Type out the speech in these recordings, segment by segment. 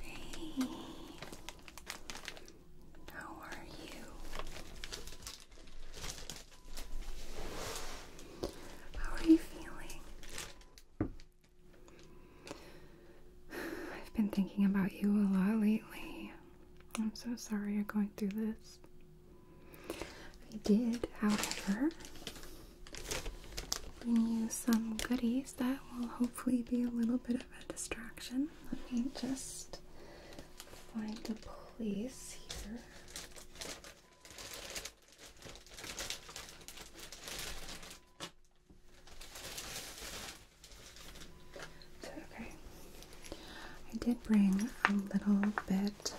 Hey, how are you? How are you feeling? I've been thinking about you a lot lately. I'm so sorry you're going through this. I did, however, bring you some goodies that will hopefully be a little bit of a distraction. Let me just find a place here okay. I did bring a little bit.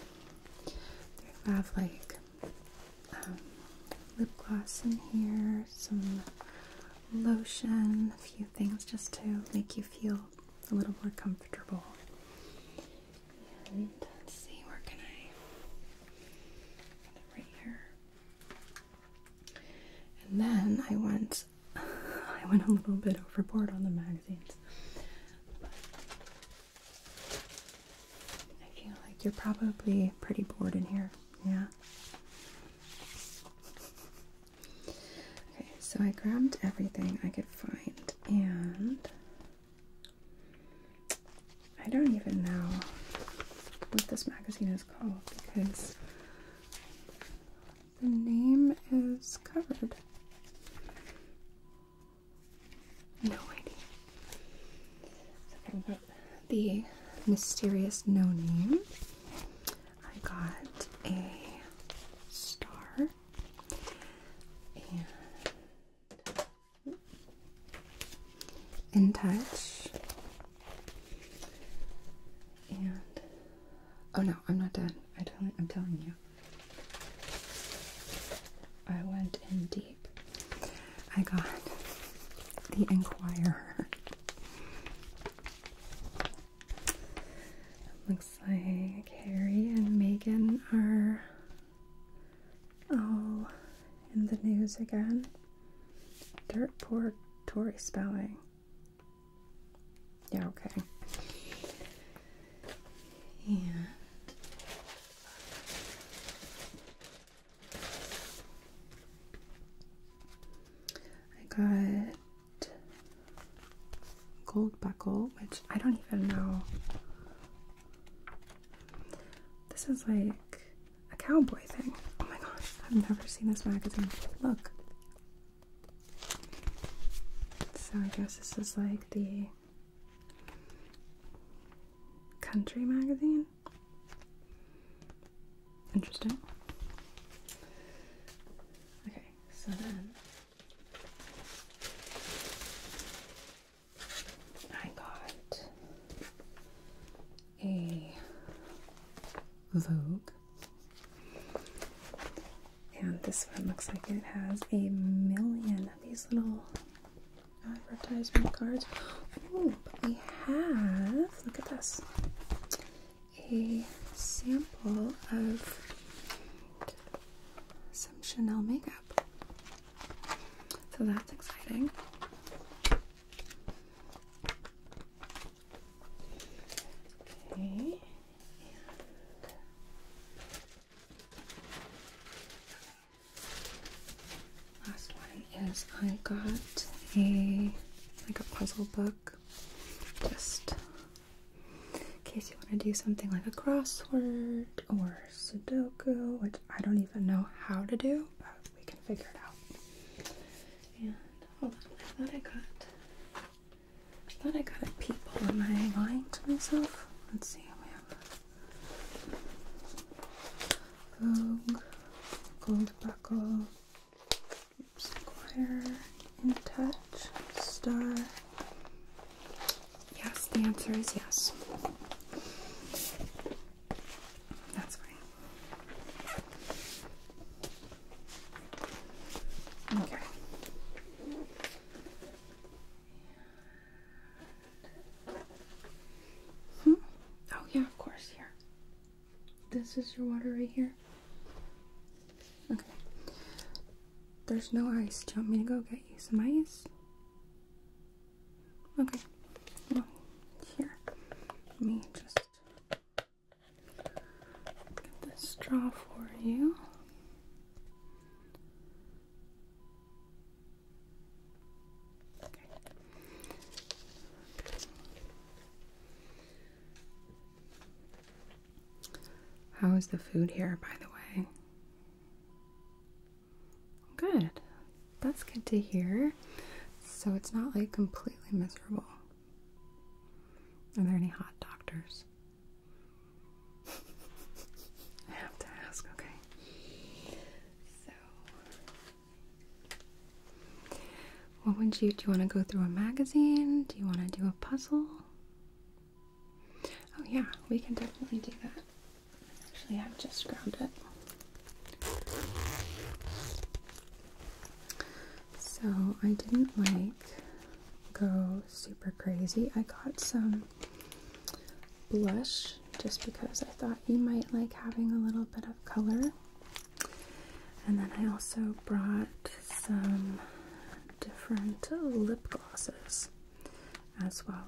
I have like um, lip gloss in here, some lotion, a few things just to make you feel a little more comfortable. And see, where can I? Right here. And then I went I went a little bit overboard on the magazines. I feel like you're probably pretty bored in here, yeah. Okay, so I grabbed everything I could find and I don't even know what this magazine is called because the name is covered. No idea. Something about the mysterious no name. I got a star in touch. And oh no, I'm not done. I am telling you. I went in deep. I got the Enquirer. Looks like Harry and Megan are Oh, in the news again. Dirt poor Tory spelling. Yeah, okay. yeah. I got gold buckle, which I don't even know. This is like a cowboy thing. Oh my gosh, I've never seen this magazine. Look. So I guess this is like the country magazine. Interesting. Okay, so then I got a Vogue. And this one looks like it has a million of these little advertisement cards. but we have, look at this, a sample of some Chanel makeup. So that's exciting. Okay. last one is I got a like a puzzle book just in case you want to do something like a crossword or Sudoku, which I don't even know how to do, we can figure it out. And hold on, I thought I got I thought I got a peephole. Am I lying to myself? Let's see, we have Vogue, Gold Buckle, Squire, In Touch, Star. Yes, the answer is yes. That's fine. Okay. Hmm? Oh, yeah, of course, here. This is your water right here. Okay. There's no ice. Do you want me to go get you some ice? Okay. here. Let me just get this straw for you. Okay. How is the food here, by the way? Good that's good to hear. So it's not like completely miserable. Are there any hot doctors? I have to ask, okay. So, what would you do? You want to go through a magazine? Do you want to do a puzzle? Oh, yeah, we can definitely do that. Actually, I've just grabbed it. So I didn't like go super crazy. I got some blush just because I thought you might like having a little bit of color. And then I also brought some different lip glosses as well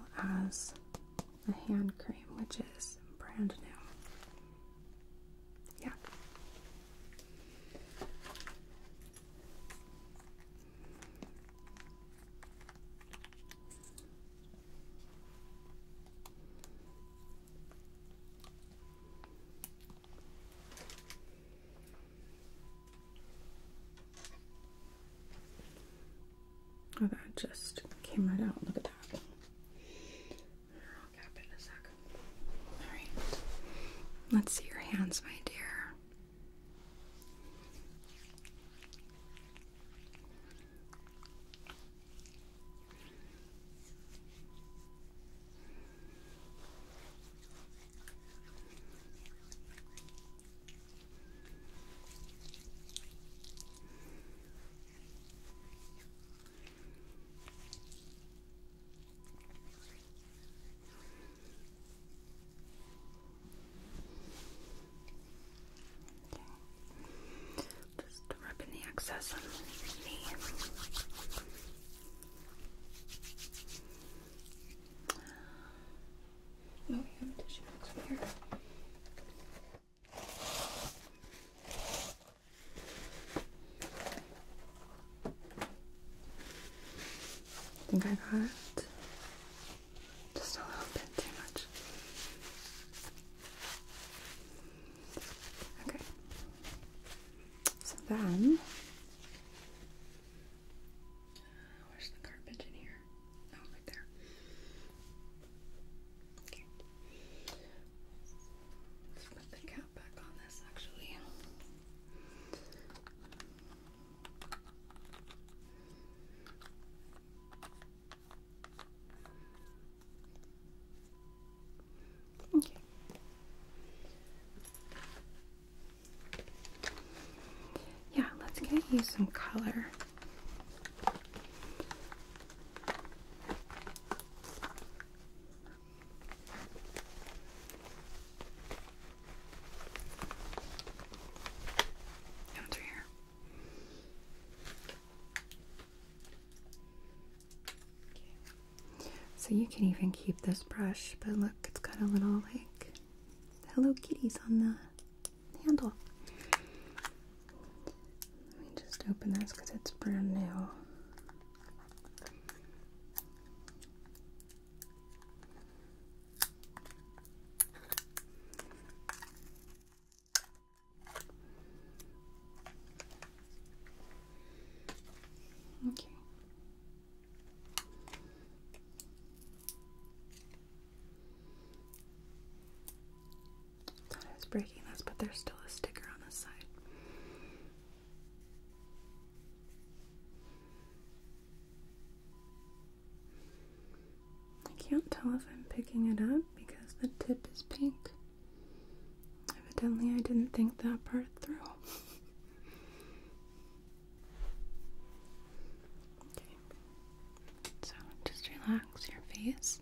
as the hand cream, which is brand new. Yeah. Oh, that just came right out. Look at that. I'll cap it in a sec. All right. Let's see your hands, my dear. Just rubbing the excess on the Oh, we have a tissue box here. I think I got Just a little bit too much. Okay. So then, uh, where's the garbage in here? Oh, right there. Okay put the cap back on this actually. Okay. Yeah, let's get you some color. Come through here. So you can even keep this brush, but look, it's got a little like Hello Kitties on the handle. Let me just open this because it's brand new. Okay. Thought I was breaking this, but there's still a sticker on the side. I can't tell if I'm picking it up because the tip is pink. Evidently, I didn't think that part through. okay, so just relax your face.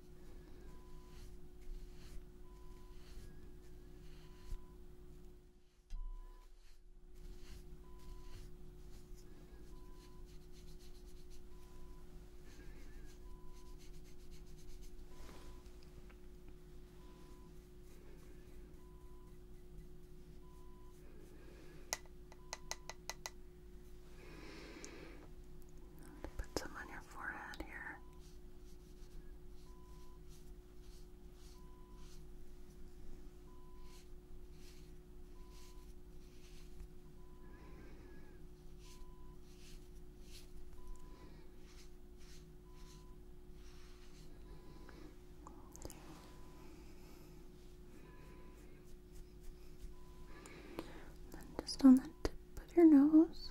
Put some on your forehead here. And just on the tip Put your nose.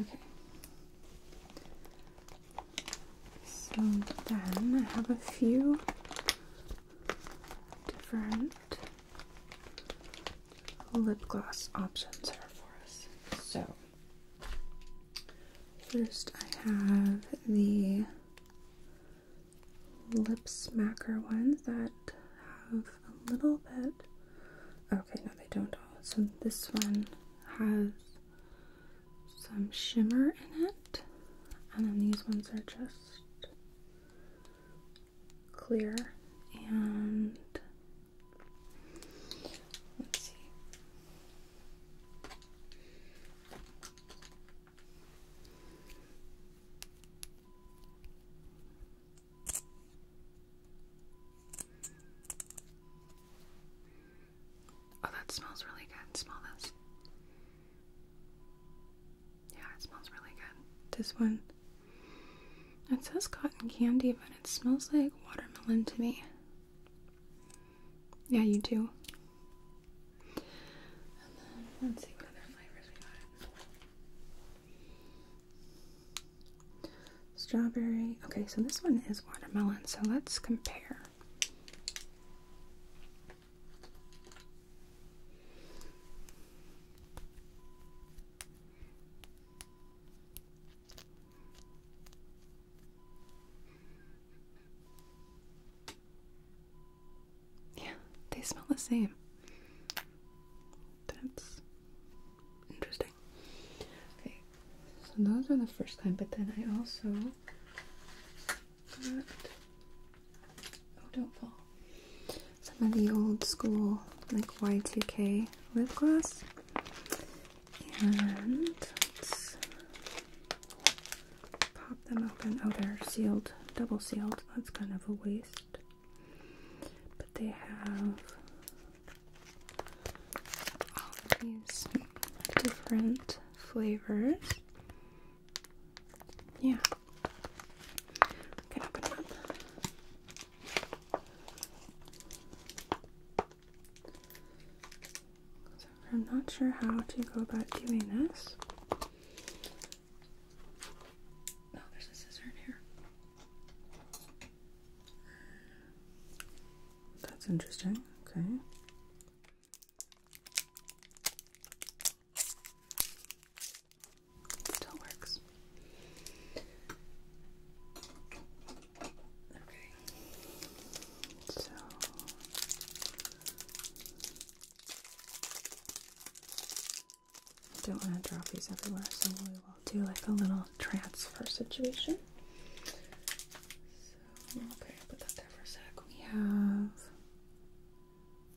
Okay. So then I have a few different lip gloss options here for us. So First, I have the lip smacker ones that have a little bit. Okay, no, they don't all. So, this one has some shimmer in it, and then these ones are just clear and Let's see. Oh, that smells really good. Smell this. Yeah, it smells really good. This one. It says cotton candy, but it smells like watermelon to me. Yeah, you too. Strawberry. Okay, so this one is watermelon, so let's compare. Yeah, they smell the same. That's interesting. Okay, so those are the first time. but then I also got. Oh, don't fall. Some of the old school, like Y2K lip gloss. And pop them open. Oh, they're sealed, double sealed. That's kind of a waste. But they have all these different flavors. Yeah. Okay, I'm not sure how to go about doing this. Oh, there's a scissor in here. That's interesting. Okay. Still works. Okay. I don't want to drop these everywhere, so we will do like a little transfer situation. okay, put that there for a sec. We have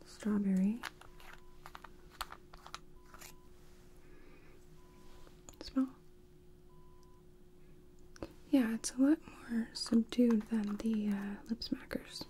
strawberry. Smell. Yeah, it's a lot more subdued than the uh, lip smackers.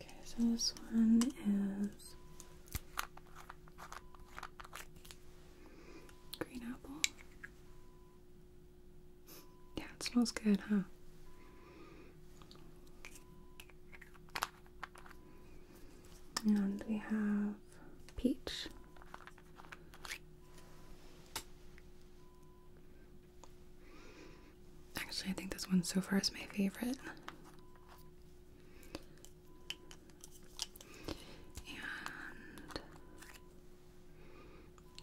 Okay, so this one is green apple. Yeah, it smells good, huh? And we have peach. Actually, I think this one so far is my favorite.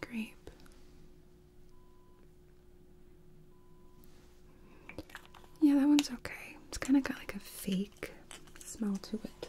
grape. Yeah, that one's okay. It's kind of got like a fake smell to it.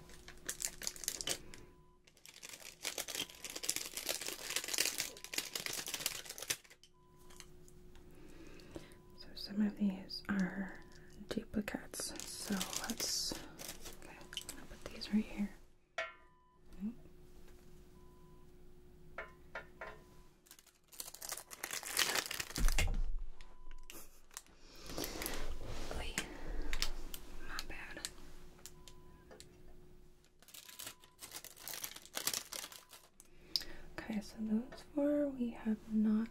So some of these are duplicates. So let's put these right here. Okay, so those four we have not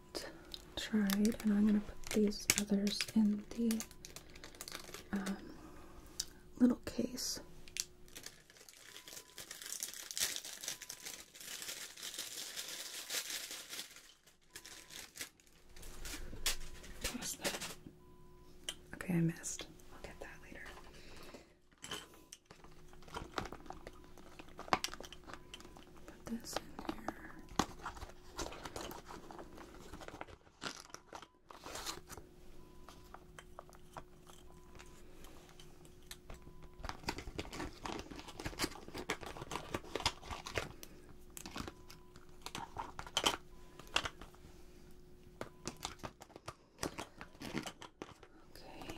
tried, and I'm gonna put these others in the um, little case. Okay, I missed. I'll get that later. Put this in here. Okay.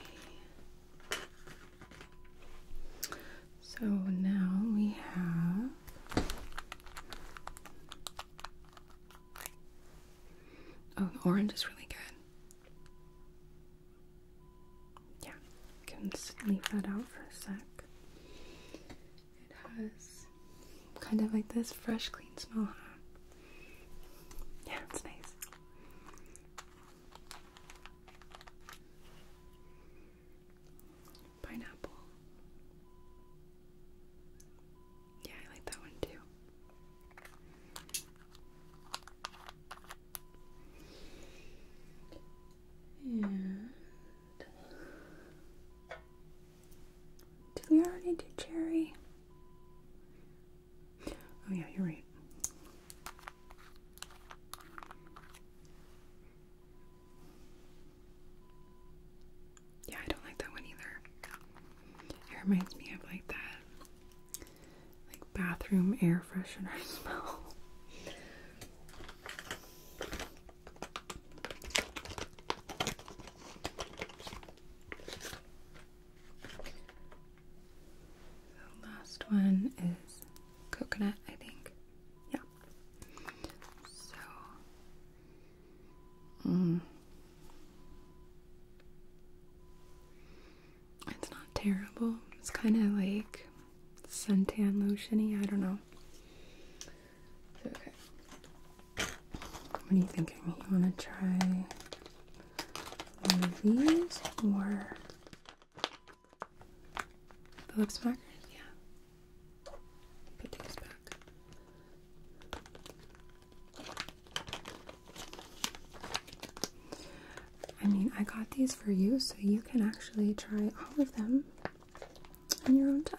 So now we have Oh, orange is really good. Yeah can leave that out for a sec. It has kind of like this fresh, clean smell, Yeah, it's nice. Pineapple. Yeah, I like that one too. And did we already do cherry? Oh yeah, you're right. Yeah, I don't like that one either. It reminds me of like that like bathroom air freshener smell. The last one is coconut, I think. Yeah. So, mm. it's not terrible. It's kind of like suntan lotiony. I don't know. Okay. What are you thinking? You want to try one of these or the lip smackers? Yeah. Put these back. I mean, I got these for you, so you can actually try all of them in your own time.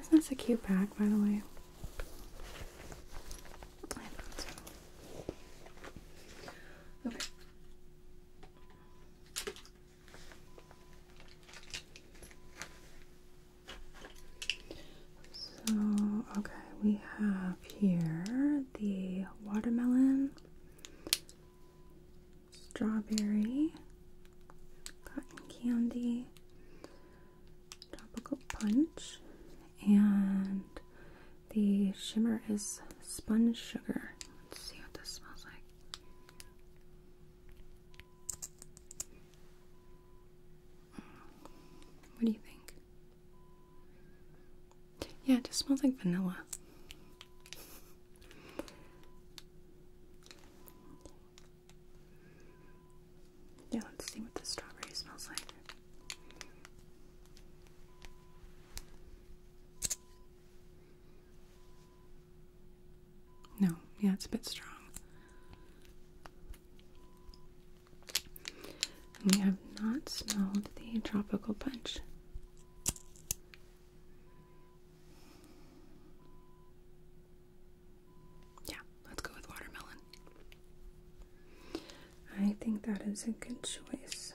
Isn't a cute bag, by the way? So, okay, we have here the watermelon, strawberry, cotton candy, tropical punch, and the shimmer is sponge sugar. Let's see what this smells like. What do you think? Yeah, it just smells like vanilla. Yeah, let's see what the strawberry smells like. No, yeah, it's a bit strong. We have not smelled the tropical punch. Yeah, let's go with watermelon. I think that is a good choice.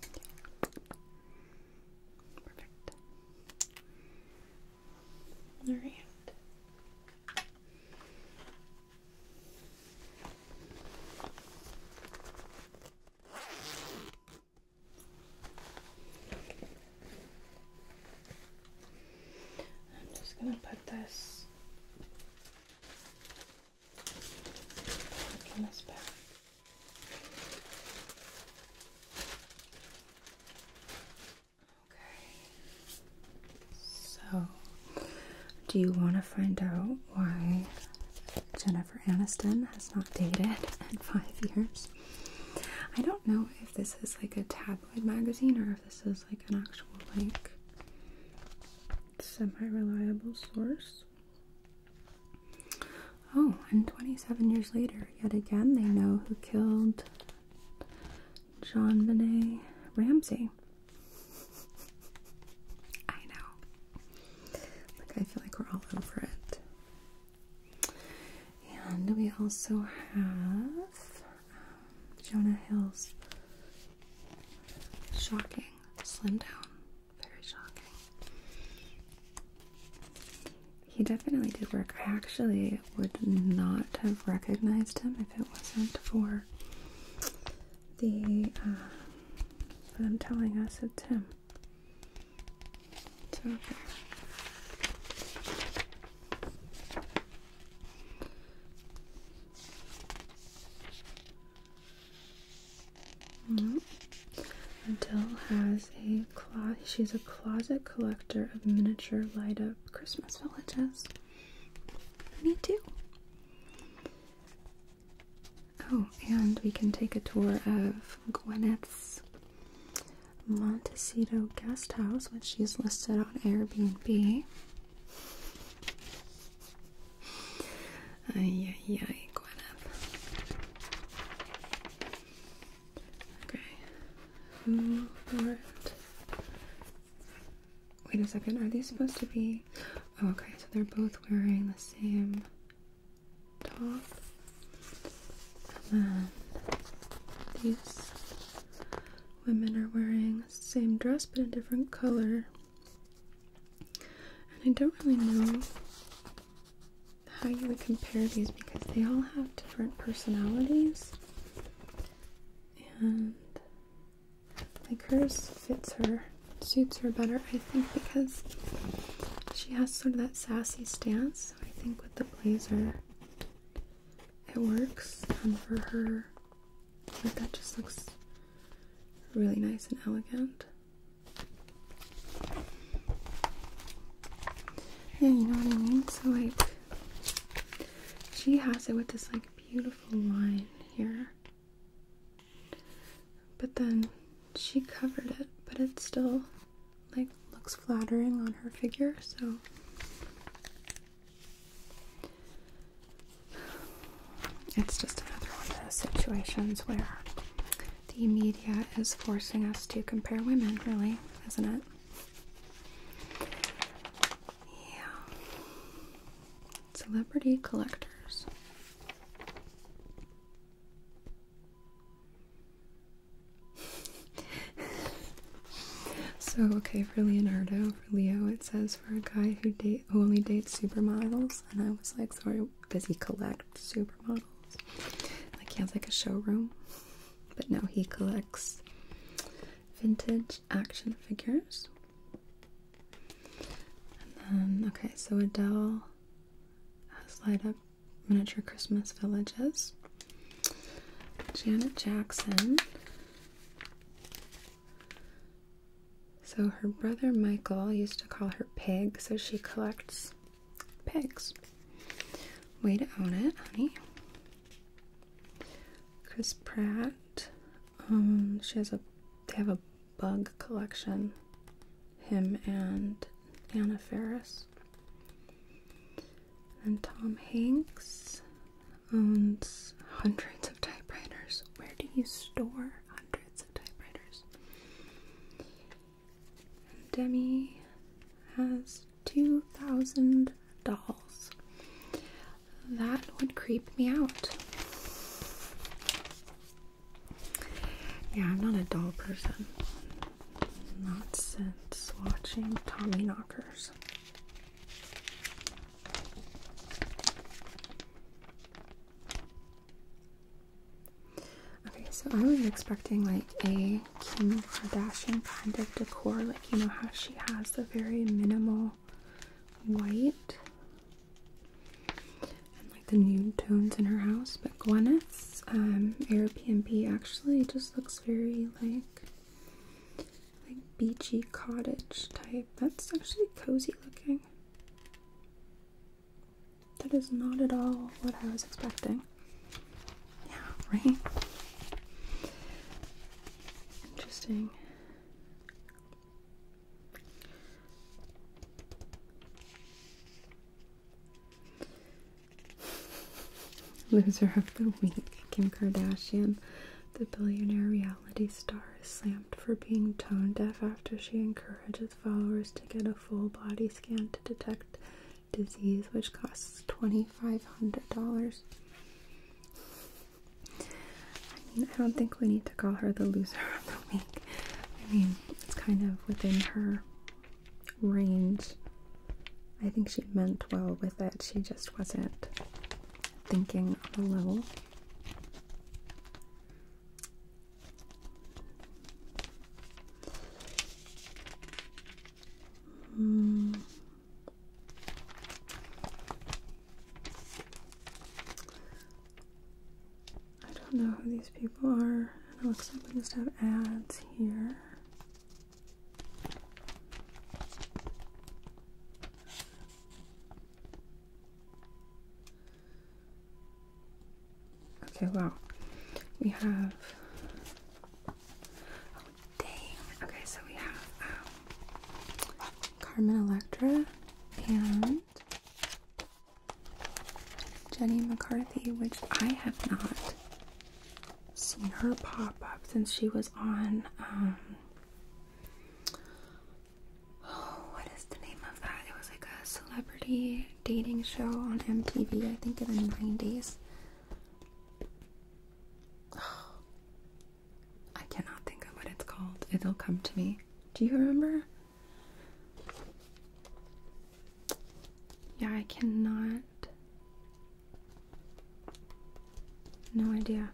Perfect. All right. I'm just going to put this back Okay. So, do you want to find out why Jennifer Aniston has not dated in five years? I don't know if this is like a tabloid magazine or if this is like an actual like semi-reliable source. Oh, and 27 years later, yet again they know who killed John Benet Ramsey. I know. Like I feel like we're all over it. And we also have um, Jonah Hill's shocking slim down. Very shocking. He definitely did work. I actually would not have recognized him if it wasn't for the uh, I'm telling us it's him. It's mm-hmm. has a closet. She's a closet collector of miniature light up Christmas villages. Me too. Oh, and we can take a tour of Gwyneth's Montecito guest house, which she's listed on Airbnb. Ay, ay, ay, Okay. Wait a second, are these supposed to be. Oh, okay, so they're both wearing the same top. Um, these women are wearing the same dress but in different color. And I don't really know how you would compare these because they all have different personalities. And like hers fits her, suits her better, I think, because she has sort of that sassy stance I think with the blazer, it works. And um, for her, like that just looks really nice and elegant. Yeah, you know what I mean? So like, she has it with this like beautiful line here. But then she covered it, but it's still like looks flattering on her figure, so it's just another one of those situations where the media is forcing us to compare women, really, isn't it? Yeah. Celebrity collectors. so okay for Leonardo, for Leo, it says for a guy who date only dates supermodels, and I was like, sorry, does he collect supermodels? Like he has like a showroom, but no, he collects vintage action figures. And then okay, so Adele has light up miniature Christmas villages. Janet Jackson. So her brother Michael used to call her Pig, so she collects pigs. Way to own it, honey. Chris Pratt. Um, she has a they have a bug collection. Him and Anna Ferris. And Tom Hanks owns hundreds of typewriters. Where do you store hundreds of typewriters? And Demi has 2,000 dolls. That would creep me out. Yeah, I'm not a doll person. Not since watching Tommy Knockers. Okay, so I was expecting like a Kim Kardashian kind of decor, like you know how she has the very minimal white and like the nude tones in her house, but Gwenna minutes. Um, Airbnb actually just looks very like like beachy cottage type. That's actually cozy looking. That is not at all what I was expecting. Yeah, right. Interesting. Loser of the week, Kim Kardashian, the billionaire reality star, is slammed for being tone deaf after she encourages followers to get a full body scan to detect disease, which costs $2,500. I I don't think we need to call her the loser of the week. I mean, it's kind of within her range. I think she meant well with it, she just wasn't thinking on a level. Hmm. I don't know who these people are. It looks like we just have ads here. Okay, well, we have. Oh, dang. Okay, so we have um, Carmen Electra and Jenny McCarthy, which I have not seen her pop up since she was on um oh what is the name of that? It was like a celebrity dating show on MTV, I think in the 90s. I cannot think of what it's called. It'll come to me. Do you remember? Yeah, I cannot no idea.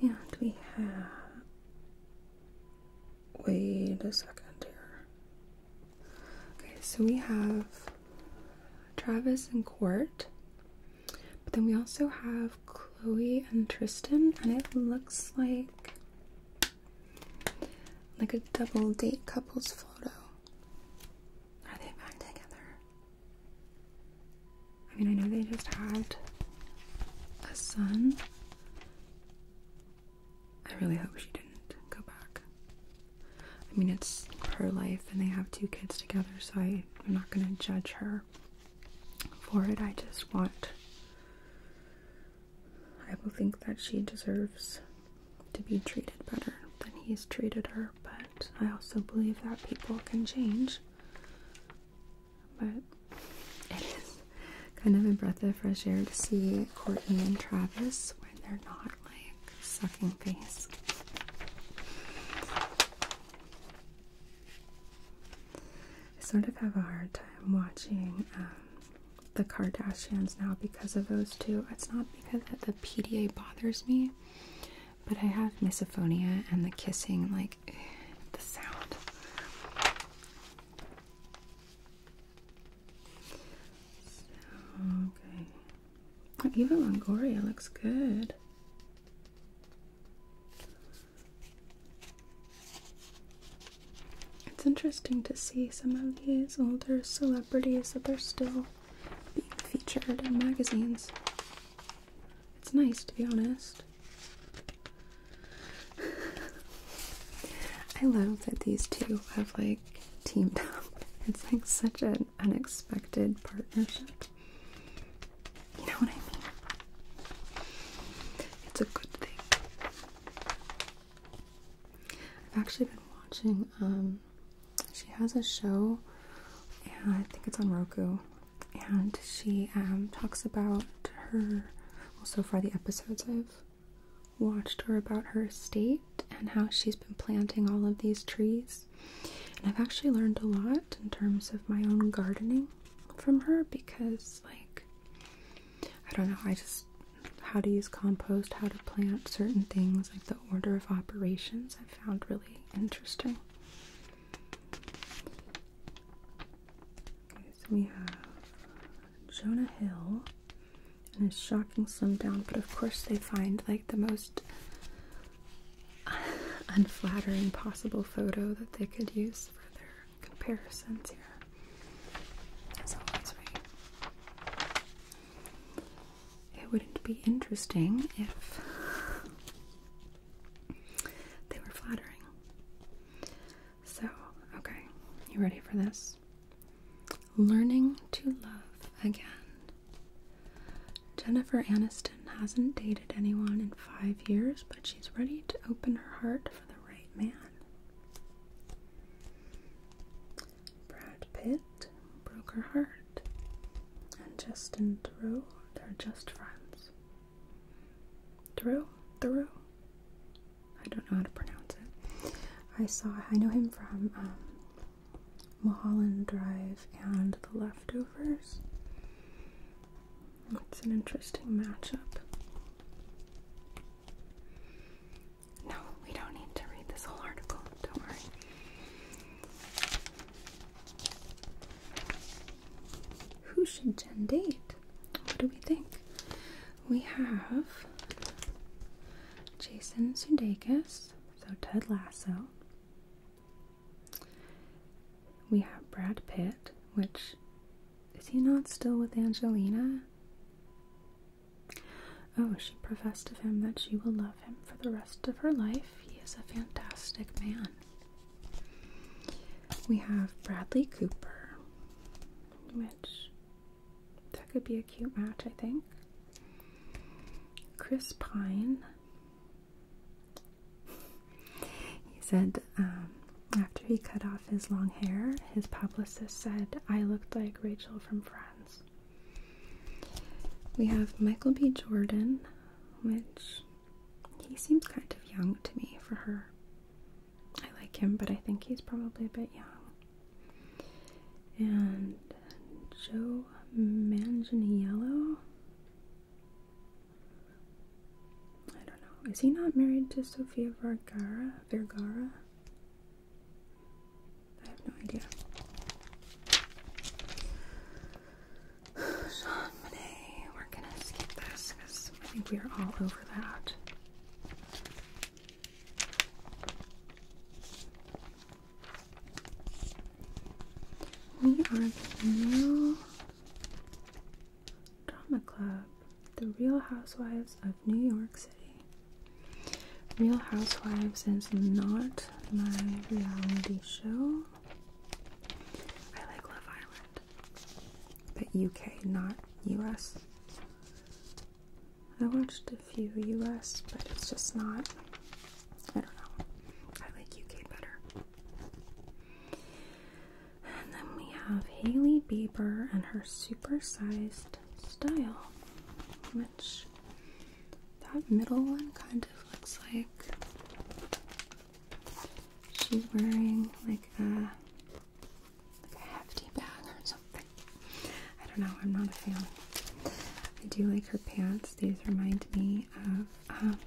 And we have. Wait a second here. Okay, so we have Travis and Court, but then we also have Chloe and Tristan, and it looks like like a double date couples photo. Are they back together? I mean, I know they just had a son. I really hope she didn't go back. I mean, it's her life and they have two kids together, so I, I'm not gonna judge her for it. I just want I will think that she deserves to be treated better than he's treated her, but I also believe that people can change. But it is kind of a breath of fresh air to see Courtney and Travis when they're not like sucking face. I sort of have a hard time watching um, the Kardashians now because of those two. It's not because the PDA bothers me, but I have misophonia and the kissing, like the sound. So, okay. Eva Longoria looks good. It's interesting to see some of these older celebrities that they're still being featured in magazines. It's nice to be honest. I love that these two have like teamed up. It's like such an unexpected partnership. You know what I mean? It's a good thing. I've actually been watching, um, she has a show, and I think it's on Roku, and she um, talks about her, well, so far the episodes I've watched her about her estate and how she's been planting all of these trees. And I've actually learned a lot in terms of my own gardening from her because, like, I don't know, I just how to use compost, how to plant certain things, like the order of operations, I found really interesting. Okay, so we have Jonah Hill and it's shocking slim down, but of course they find like the most unflattering possible photo that they could use for their comparisons here. It wouldn't be interesting if they were flattering. So, okay, you ready for this? Learning to love again. Jennifer Aniston hasn't dated anyone in five years, but she's ready to open her heart for the right man. Brad Pitt broke her heart, and Justin Thoreau, they're just friends. Thoreau? Thoreau? I don't know how to pronounce it. I saw, I know him from um, Mulholland Drive and The Leftovers. That's an interesting matchup. No, we don't need to read this whole article, don't worry. Who should Jen date? What do we think? We have Jason Sudeikis, so Ted Lasso. We have Brad Pitt, which is he not still with Angelina? Oh, she professed to him that she will love him for the rest of her life. He is a fantastic man. We have Bradley Cooper, which that could be a cute match, I think. Chris Pine. He said um, after he cut off his long hair, his publicist said, I looked like Rachel from Friends. We have Michael B. Jordan, which he seems kind of young to me for her. I like him, but I think he's probably a bit young. And Joe Manganiello. I don't know. Is he not married to Sofia Vergara? Vergara? I have no idea. Jean Monnet, we're gonna skip this because I think we are all over that. We are now Drama Club, The Real Housewives of New York City. Real Housewives is not my reality show. I like Love Island, but UK, not US. I watched a few US, but it's just not. I don't know. I like UK better. And then we have Haley Bieber and her supersized style, which that middle one kind of looks like she's wearing like a, like a hefty bag or something. I don't know, I'm not a fan. I do like her pants. These remind me of um,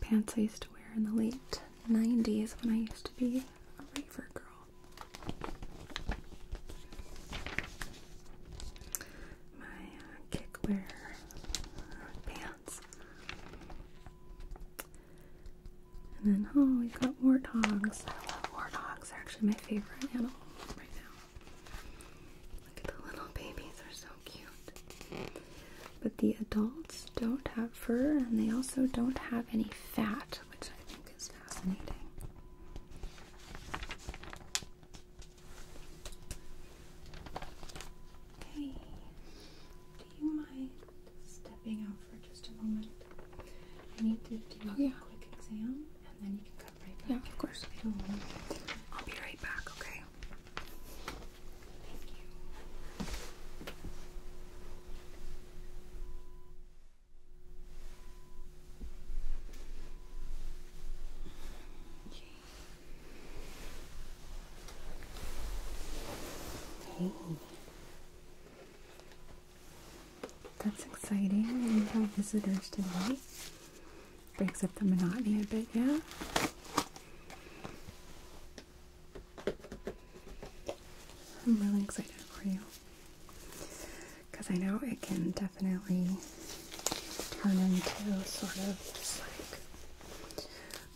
pants I used to wear in the late 90s when I used to be a raver girl. My uh, kickwear pants. And then, oh, we got warthogs. I love warthogs. They're actually my favorite animal right now. Look at the little babies. They're so cute. But the adults don't have fur and they also don't have any fat, which I think is fascinating. Okay, do you mind stepping out for just a moment? I need to do a quick exam and then you can come right back. Yeah, of course. I'll be right back, okay? that's exciting. We have visitors today. Breaks up the monotony a bit, yeah? I'm really excited for you because I know it can definitely turn into sort of just like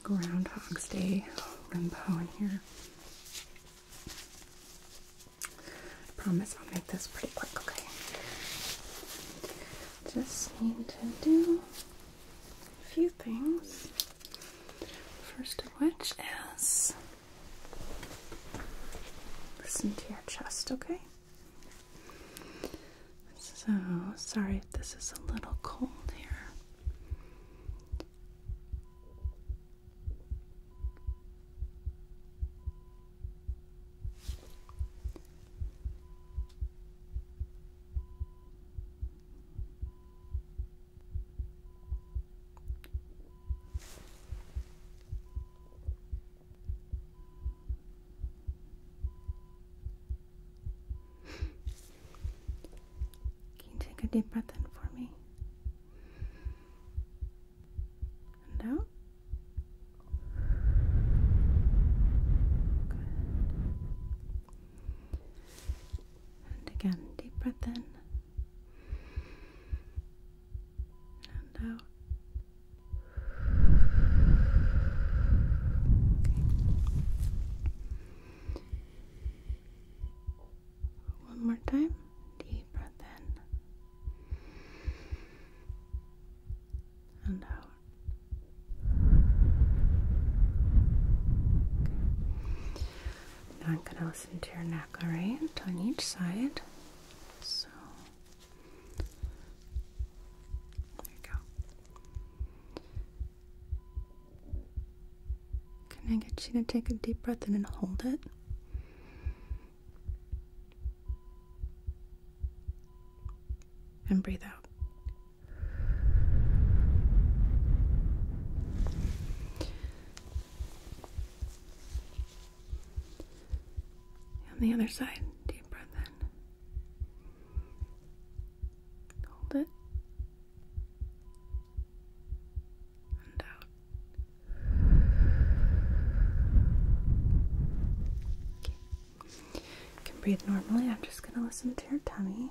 Groundhog's Day limbo in here. I promise I'll make this pretty quick, okay? Just need to do a few things. First of which is listen to your chest, okay? So sorry if this is a little cold here. Can you take a deep breath in for me? And out. And again, deep breath in and out. One more time, deep breath in and out. Now I'm going to listen to your neck, alright? On each side. So, there you go. Can I get you to take a deep breath in and hold it? And breathe out. On the other side, deep breath in. Hold it. And out. Okay. You can breathe normally. I'm just going to listen to your tummy.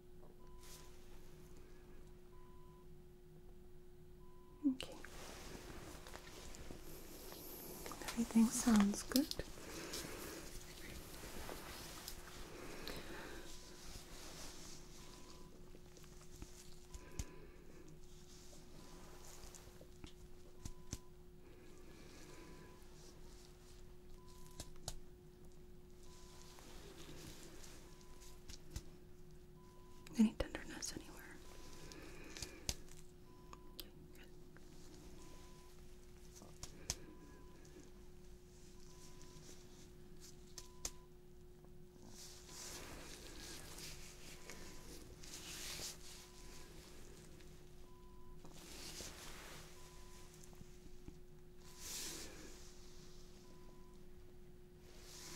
Okay. Everything sounds good. Any tenderness anywhere?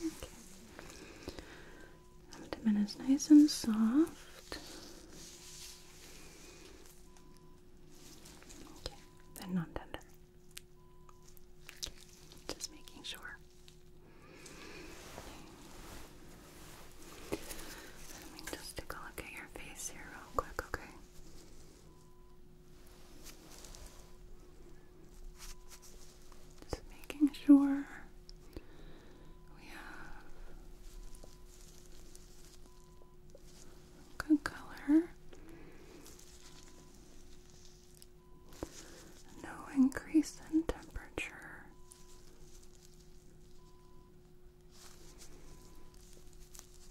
Okay. the man is nice and soft. Okay, and not tender. Just making sure. Let me just take a look at your face here real quick, okay? Just making sure we have good color. No increase in temperature.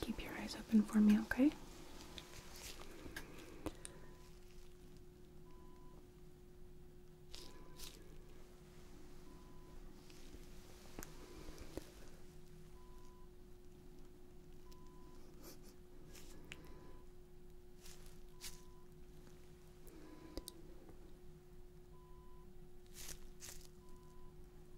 Keep your eyes open for me, okay?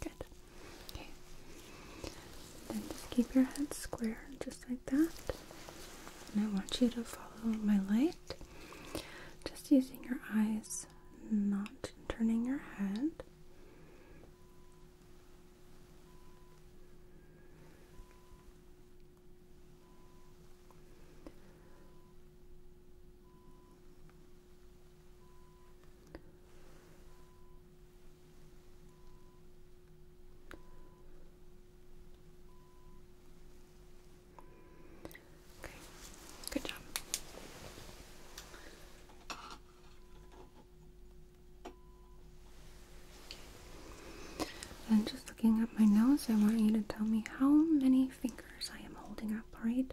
Good. Okay. Then just keep your head square, just like that. And I want you to follow my light, just using your eyes, not turning your head. Okay, good job. And just looking at my nose, I want you to tell me how many fingers I am holding up, right?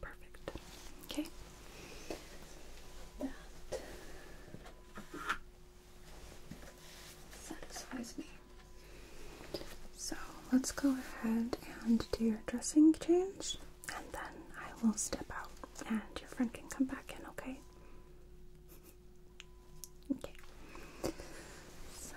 Perfect. Okay. That satisfies me. So let's go ahead and do your dressing change and then I will step out and your friend can come back in, okay? Okay. So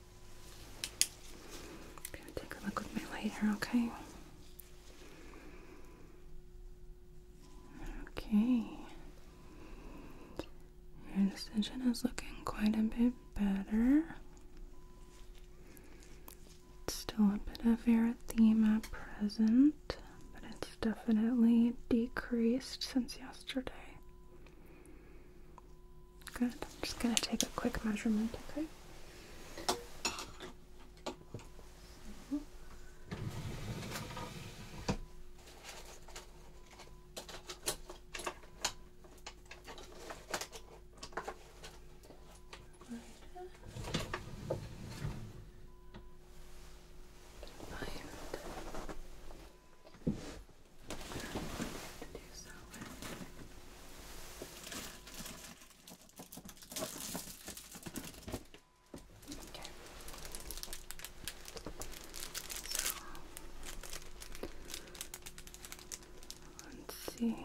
take a look with my light here, okay? Okay. Your incision is looking quite a bit better. It's still a bit of erythema present, but it's definitely decreased since yesterday. Good. I'm just going to take a quick measurement, okay? Okay. So let's see here.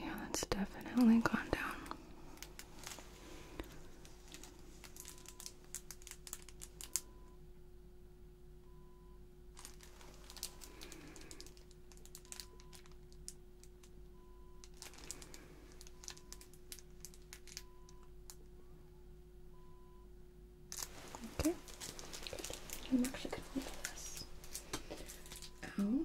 Yeah, that's definitely gone down. Okay. I'm actually gonna move this out. Oh.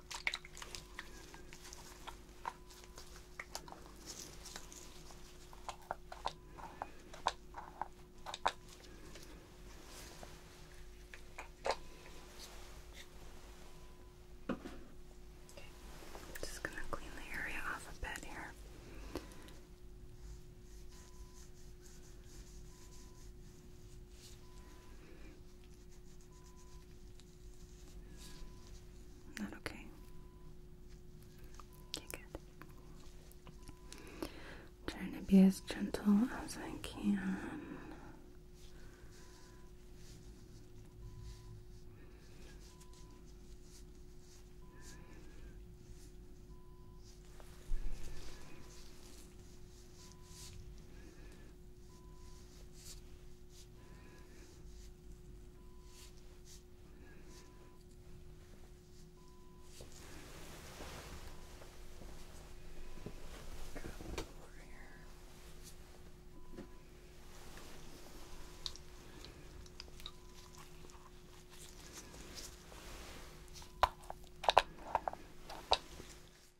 Okay. Just gonna clean the area off a bit here. Not okay. Okay, good. I'm trying to be as gentle as I can over here.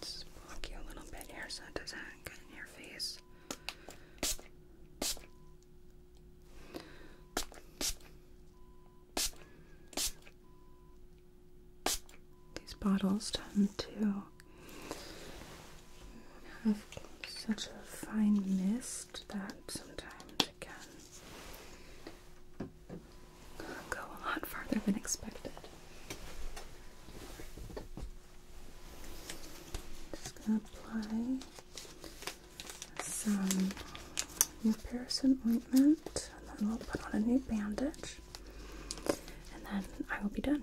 Just block you a little bit here so it doesn't get in your face. These bottles tend to have such a fine mist that sometimes it can go a lot farther than expected. Just gonna apply some new Paracin ointment, and then we'll put on a new bandage, and then I will be done.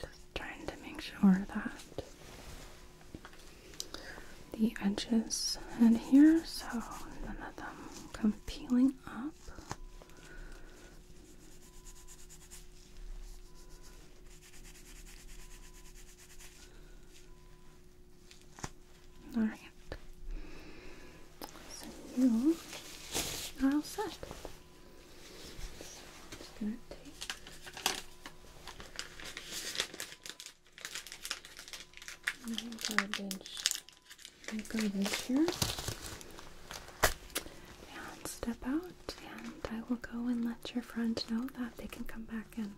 Just trying to make sure that the edges in here so none of them come peeling up. All right. So you are set. So garbage, my garbage here. And step out, and I will go and let your friend know that they can come back in.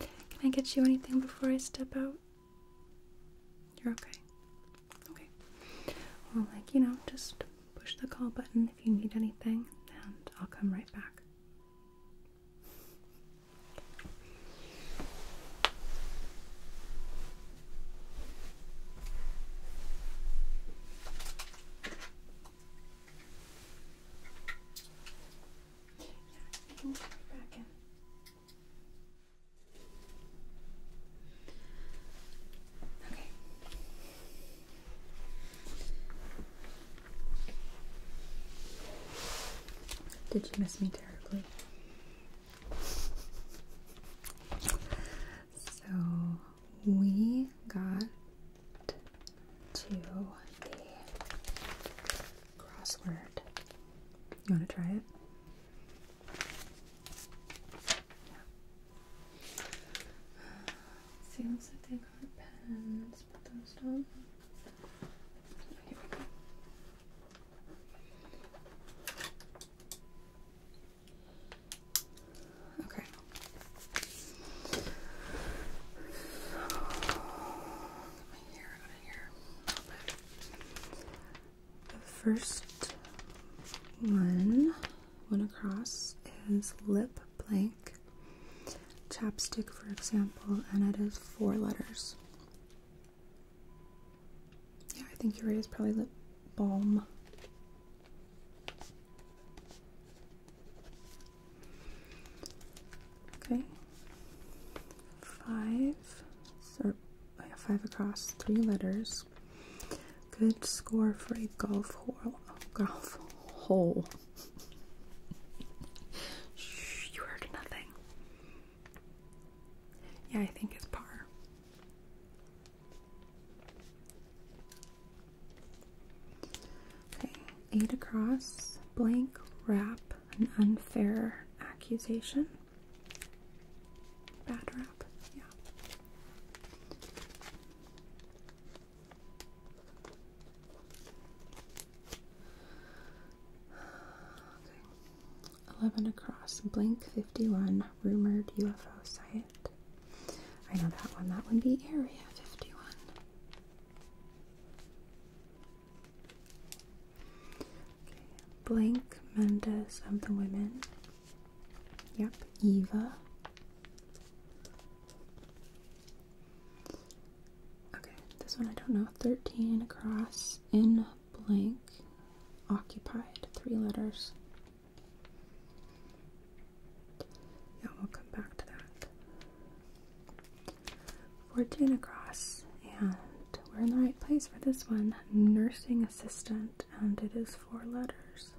Can I get you anything before I step out? You're okay. Okay. Well, like, you know, just push the call button if you need anything, and I'll come right back you can come back in. Okay. Did you miss me terribly? So we got to the crossword. You want to try it? Yeah. See, they got pens, but those do here Okay. The first one, one across, is lip blank chapstick, for example, and it is four letters. Yeah, I think your are right. probably lip balm. Okay. Five, oh five across, three letters. Good score for a golf hole. Golf hole you heard nothing. Yeah, I think it's par. Okay, eight across, blank, wrap, an unfair accusation. Bad wrap. yeah. 11 across. Blink 51. Rumored UFO site. I know that one. That would be Area 51. Okay. Blank Mendez of the Women. Yep. Eva. Okay, this one I don't know. 13 across in blank. Occupied. Three letters. Yeah, we'll come back to that. 14 across, and we're in the right place for this one. Nursing assistant, and it is four letters.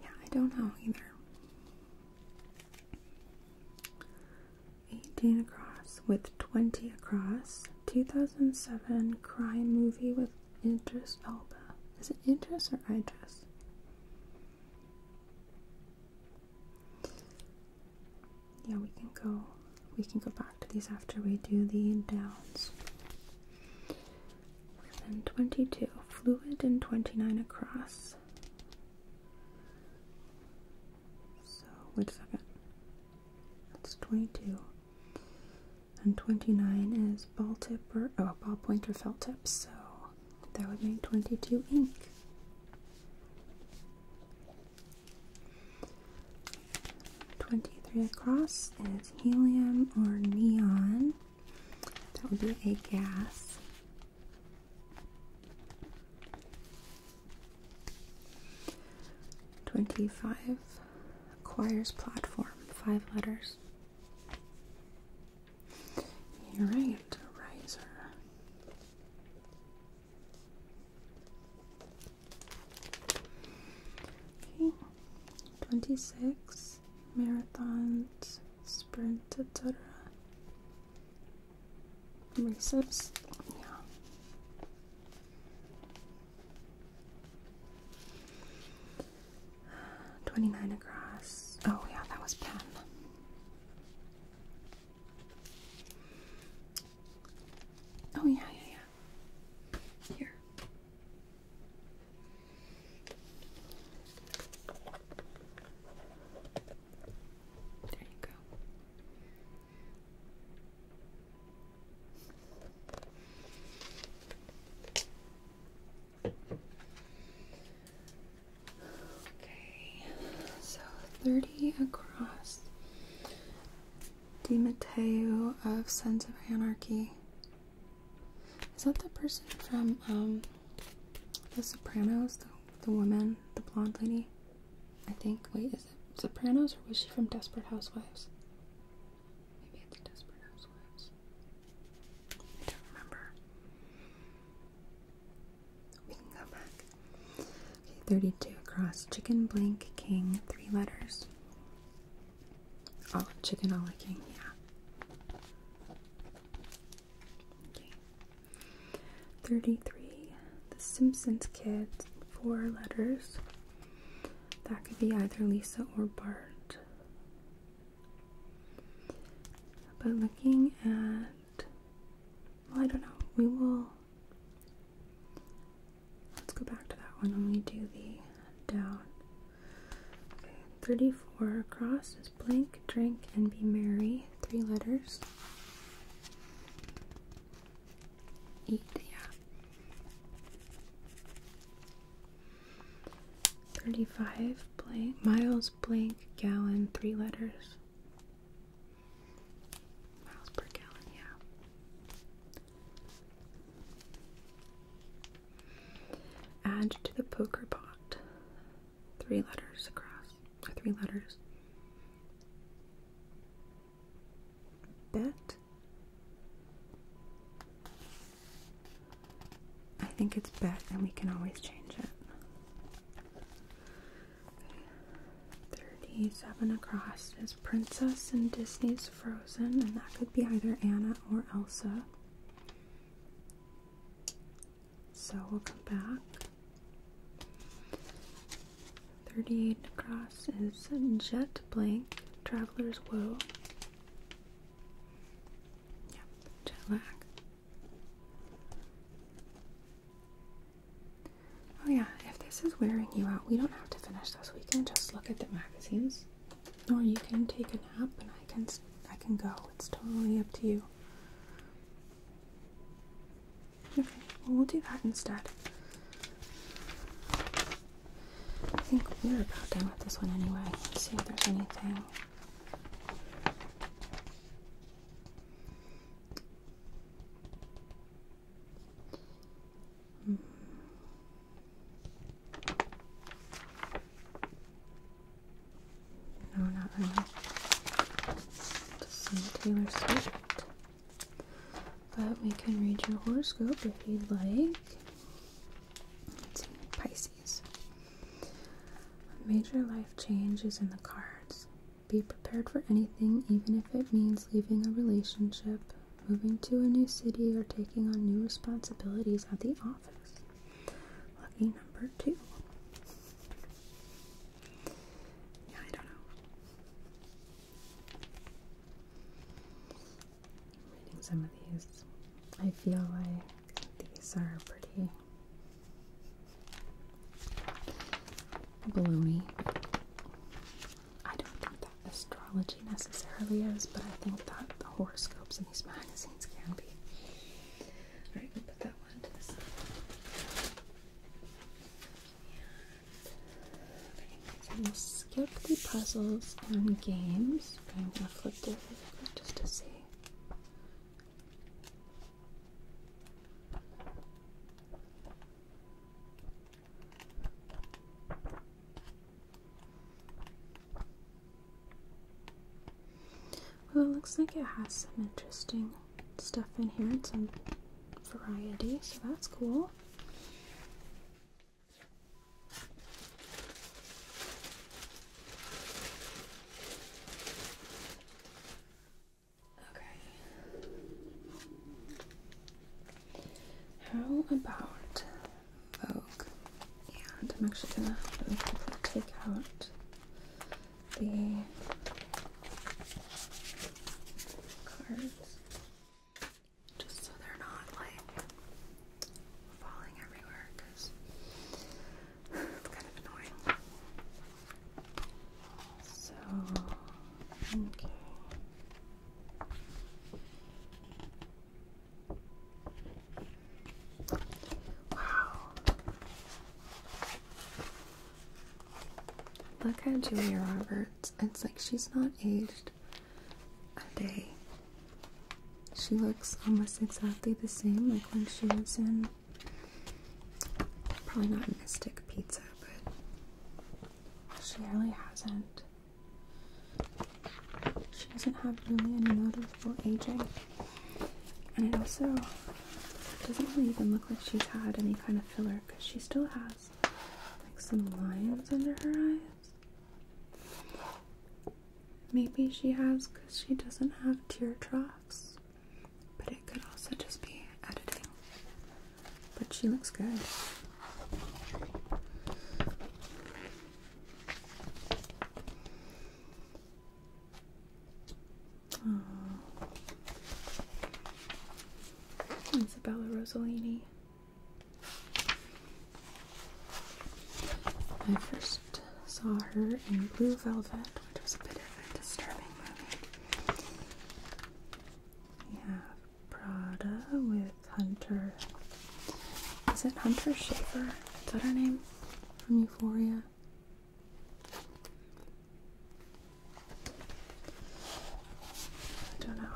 Yeah, I don't know either. 18 across with 20 across. 2007 crime movie with Idris Elba. Is it Idris or Idris? Yeah, we can go. We can go back to these after we do the downs. And 22 fluid and 29 across. So, wait a second. That's 22. And 29 is ball tip or, oh, ball pointer felt tip, so that would make 22 ink. Twenty-three across is helium or neon. That would be a gas. 25 acquires platform, five letters. right, riser. Okay, 26 marathons, sprint, etc. Recess. Yeah. Twenty nine across. Oh yeah, that was pen. Oh yeah, yeah, yeah. Here. There you go. Okay, so 30 across. Di Matteo of Sons of Anarchy. Is that the person from um, the Sopranos, the, woman, the blonde lady. I think. Wait, is it Sopranos or was she from Desperate Housewives? Maybe it's Desperate Housewives. I don't remember. We can go back. Okay, 32 across. Chicken blank king, three letters. Oh, chicken all la king, yeah. Okay. 33. The Simpsons Kids. Four letters. That could be either Lisa or Bart. But looking at. Well, I don't know. We will. Let's go back to that one when we do the down. Okay, 34 across is blank. drink, and be merry three letters. Eat, yeah. Thirty-five blank miles blank gallon, three letters. Miles per gallon, yeah. Add to the poker pot three letters across, three letters. Bet? I think it's bet, and we can always change it. 37 across is Princess in Disney's Frozen, and that could be either Anna or Elsa. So we'll come back. 38 across is Jet Blank, Traveler's Woe. Yeah, jet lag. Oh yeah, if this is wearing you out, we don't have to finish this. We can just look at the magazines. Or you can take a nap and I can I can go. It's totally up to you. Okay, well, we'll do that instead. I think we're about done with this one anyway. Let's see if there's anything. Hmm. No, not really. Just some Taylor Swift. But we can read your horoscope if you'd like. Pisces. A major life change is in the cards. Be prepared for anything, even if it means leaving a relationship, moving to a new city, or taking on new responsibilities at the office. Lucky number two. Yeah, I don't know. reading some of these. I feel like these are pretty balloony. I don't think that astrology necessarily is, but I think that the horoscopes in these magazines can be. Alright, we'll put that one to the side. we'll skip the puzzles and games, I'm gonna flip this just to see. Well, it looks like it has some interesting stuff in here and some variety, so that's cool. Okay. How about Vogue? And I'm actually gonna take out the cards just so they're not like falling everywhere it's kind of annoying. So, okay. Wow. Look at Julia Roberts. It's like she's not aged a day. She looks almost exactly the same, like when she was in probably not Mystic Pizza, but she really hasn't. She doesn't have really any noticeable aging. And it also doesn't really even look like she's had any kind of filler because she still has like some lines under her eyes. Maybe she has because she doesn't have tear troughs, but it could also just be editing. But she looks good. Oh. Isabella Rossellini. I first saw her in Blue Velvet, which was a bit of a disturbing movie. We have Prada with Hunter. Is it Hunter Schafer? Is that her name? From Euphoria? I don't know.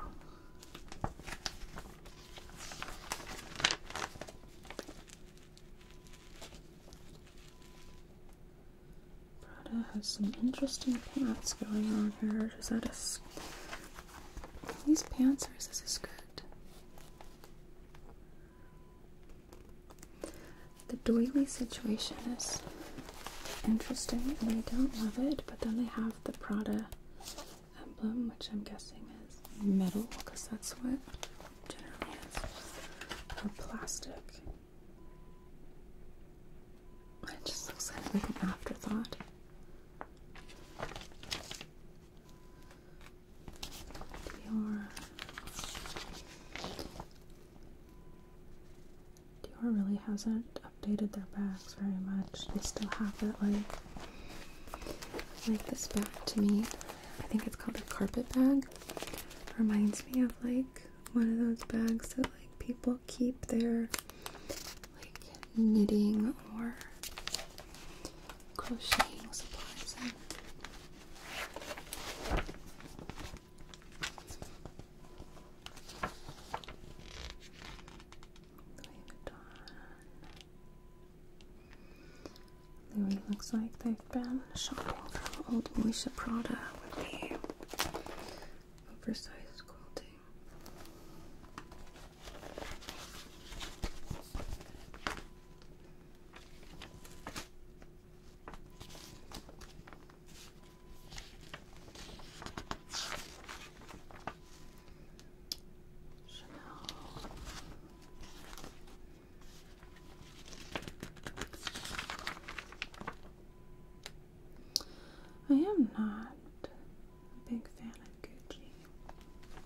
Prada has some interesting pants going on here. Is that a these pants or is this a skirt? The doily situation is interesting, and I don't love it, but then they have the Prada emblem, which I'm guessing is metal, because that's what generally is, or plastic. It just looks like an afterthought. Dior. Dior really hasn't updated their bags very much. They still have that like like this bag to me. I think it's called a carpet bag. Reminds me of like one of those bags that like people keep their like knitting or crocheting supplies in. Louis looks like they've been shopping for old Alicia Prada with the oversized quilting. I am not a big fan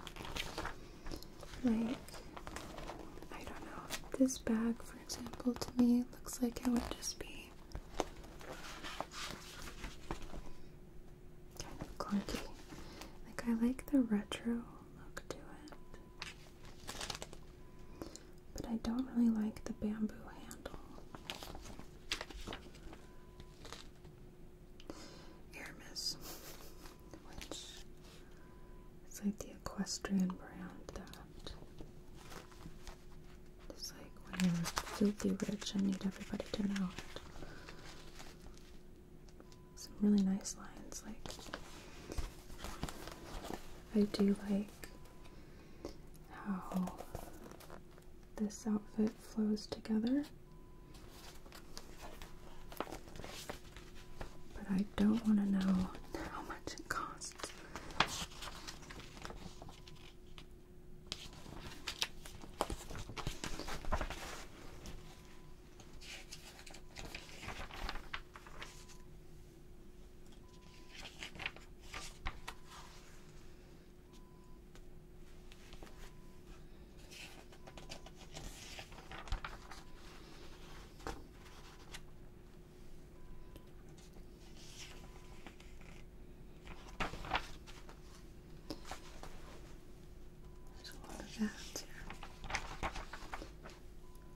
of Gucci. Like I don't know. This bag, for example, to me looks like it would just be kind of clunky. Like, I like the retro look to it, but I don't really like the bamboo handle. Aramis, it's like the equestrian brand that it's like when you're filthy rich, I need everybody to know it. Some really nice lines, like I do like how this outfit flows together. But I don't want to know how much it costs. There's a lot of that here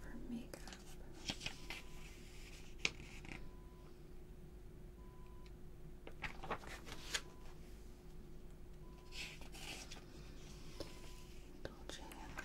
for makeup. Dolce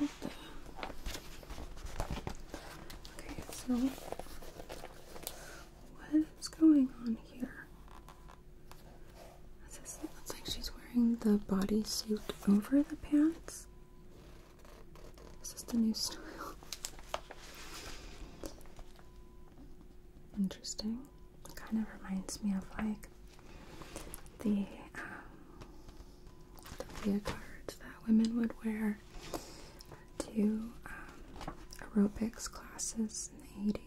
Okay, so what is going on here? This looks like she's wearing the bodysuit over the pants. This is the new style. Interesting. It kind of reminds me of like the, um, the leotards that women would wear to um, aerobics classes in the 80s.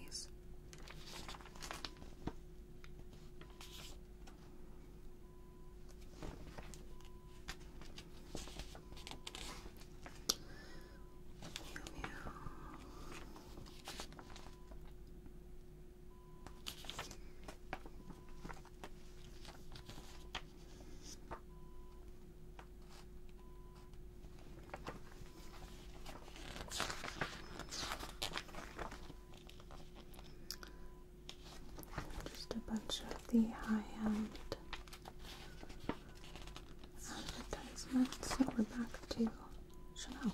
Just a bunch of the high-end advertisements. So we're back to Chanel.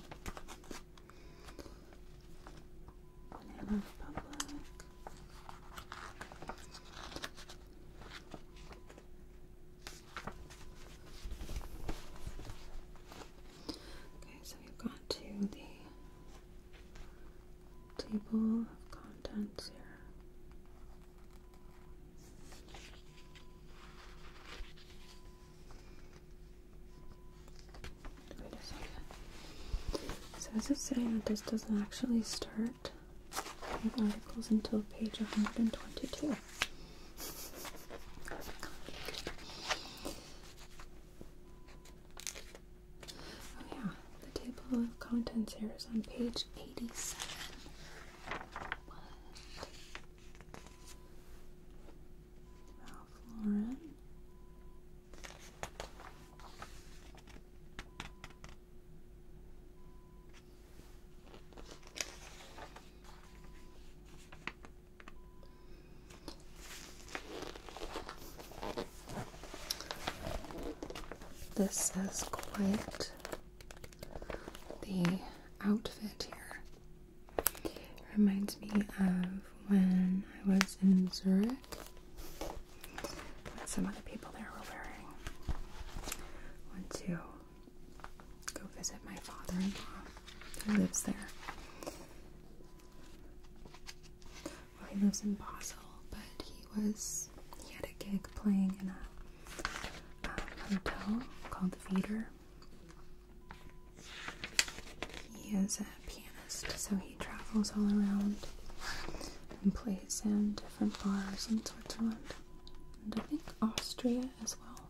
Okay, so we've got to the table of contents here. So is it saying that this doesn't actually start with articles until page 122? Oh yeah, the table of contents here is on page 87. This is quite the outfit here. Reminds me of when I was in Zurich. What some of the people there were wearing. Went to go visit my father-in-law who lives there. Well, he lives in Basel, but he was he had a gig playing in a um, hotel called the Feeder. He is a pianist, so he travels all around and plays in different bars in Switzerland and I think Austria as well.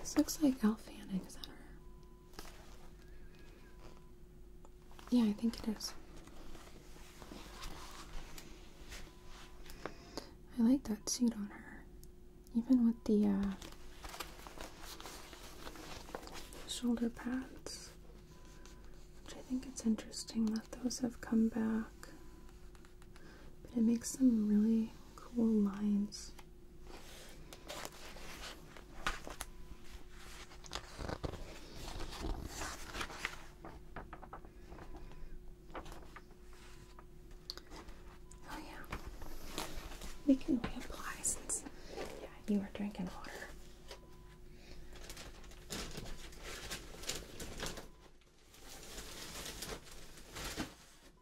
This looks like Elf Fanning Center. Yeah, I think it is. I like that suit on her. Even with the uh, shoulder pads. Which I think it's interesting that those have come back. But it makes some really cool lines. Oh yeah, we can reapply since you are drinking water.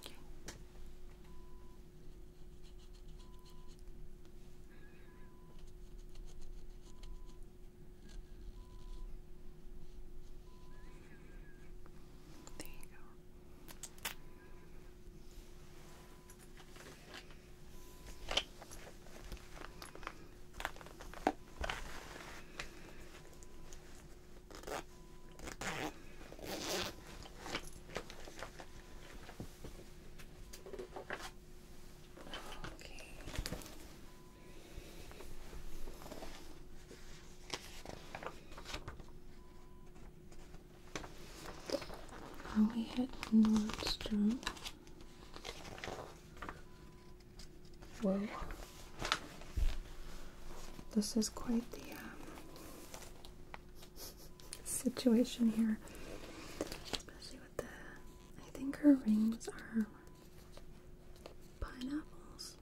Okay. There you go. Okay. Now we head north through. Whoa. This is quite the um, situation here, I think her rings are pineapples.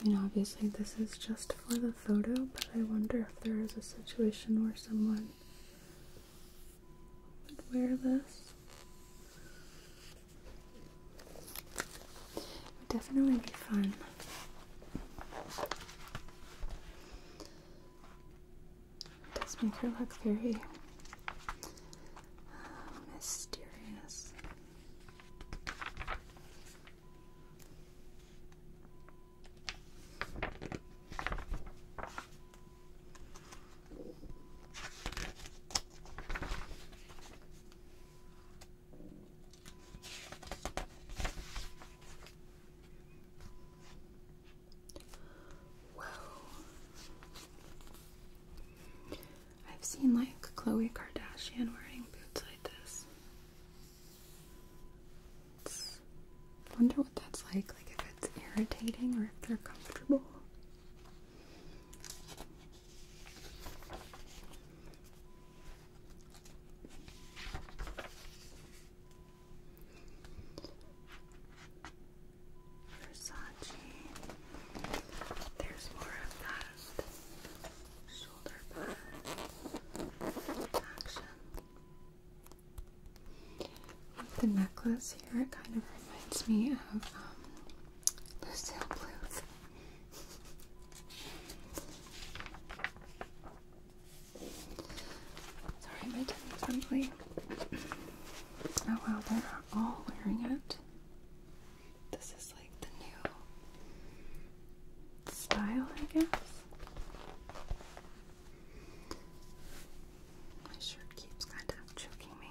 I mean, obviously, this is just for the photo, but I wonder if there is a situation where someone would wear this. It would definitely be fun. It does make her look very uh, mysterious. Whoa. I've seen like Khloe Kardashian wearing boots like this. wonder what that's like, like if it's irritating or if they're comfortable. Versace. There's more of that shoulder pad action. the necklace here, it kind of reminds me of um, Lucille Bluth. Sorry, my tummy's rumbly. Oh wow, they're all wearing it. This is like the new style, I guess. My shirt keeps kind of choking me.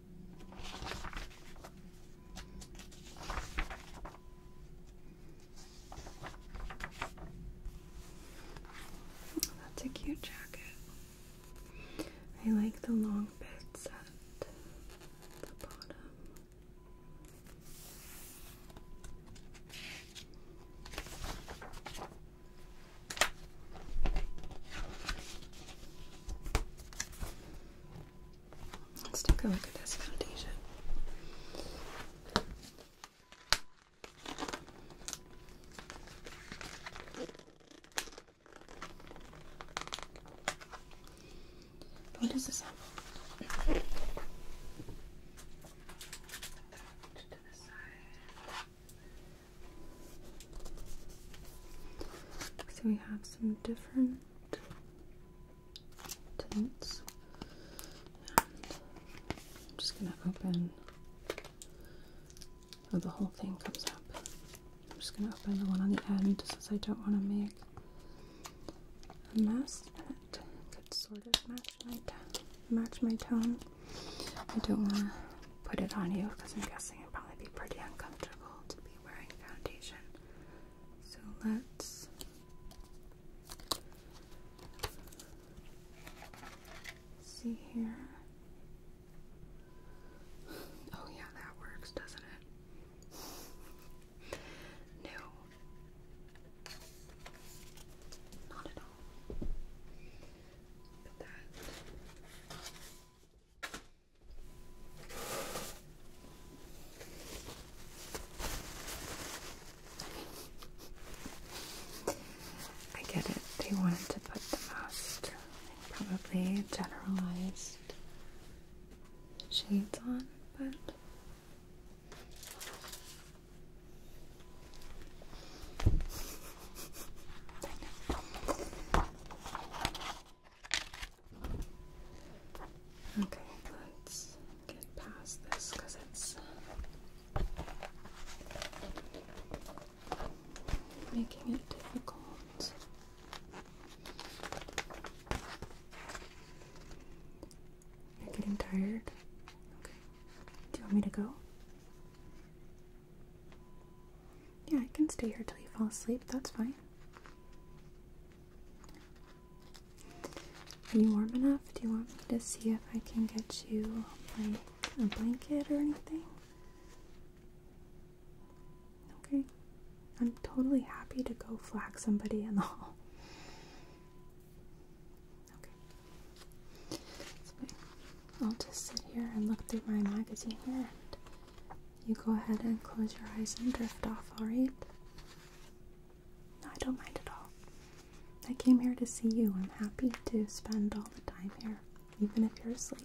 That's a cute jacket. I like the long bits at the bottom. Let's take a look at this foundation. What this So we have some different I'm just going to open. Oh, the whole thing comes up. I'm just going to open the one on the end since I don't want to make a mess. And it could sort of match my, match my tone. I don't want to put it on you because I'm guessing it'd probably be pretty uncomfortable to be wearing foundation so let's see here. Oh, yeah, that works, doesn't it? No, not at all. But that. I get it. They wanted to put the most probably generalized shades on, but Okay, let's get past this because it's making it difficult. You're getting tired? Okay. Do you want me to go? Yeah, I can stay here until you fall asleep. That's fine. Are you warm enough? Do you want me to see if I can get you like a blanket or anything? Okay. I'm totally happy to go flag somebody in the hall. Okay. I'll just sit here and look through my magazine here you go ahead and close your eyes and drift off, alright? No, I don't mind at all. I came here to see you. I'm happy to spend all the time here, even if you're asleep.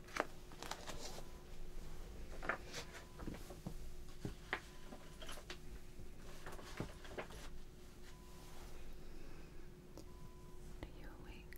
you awake?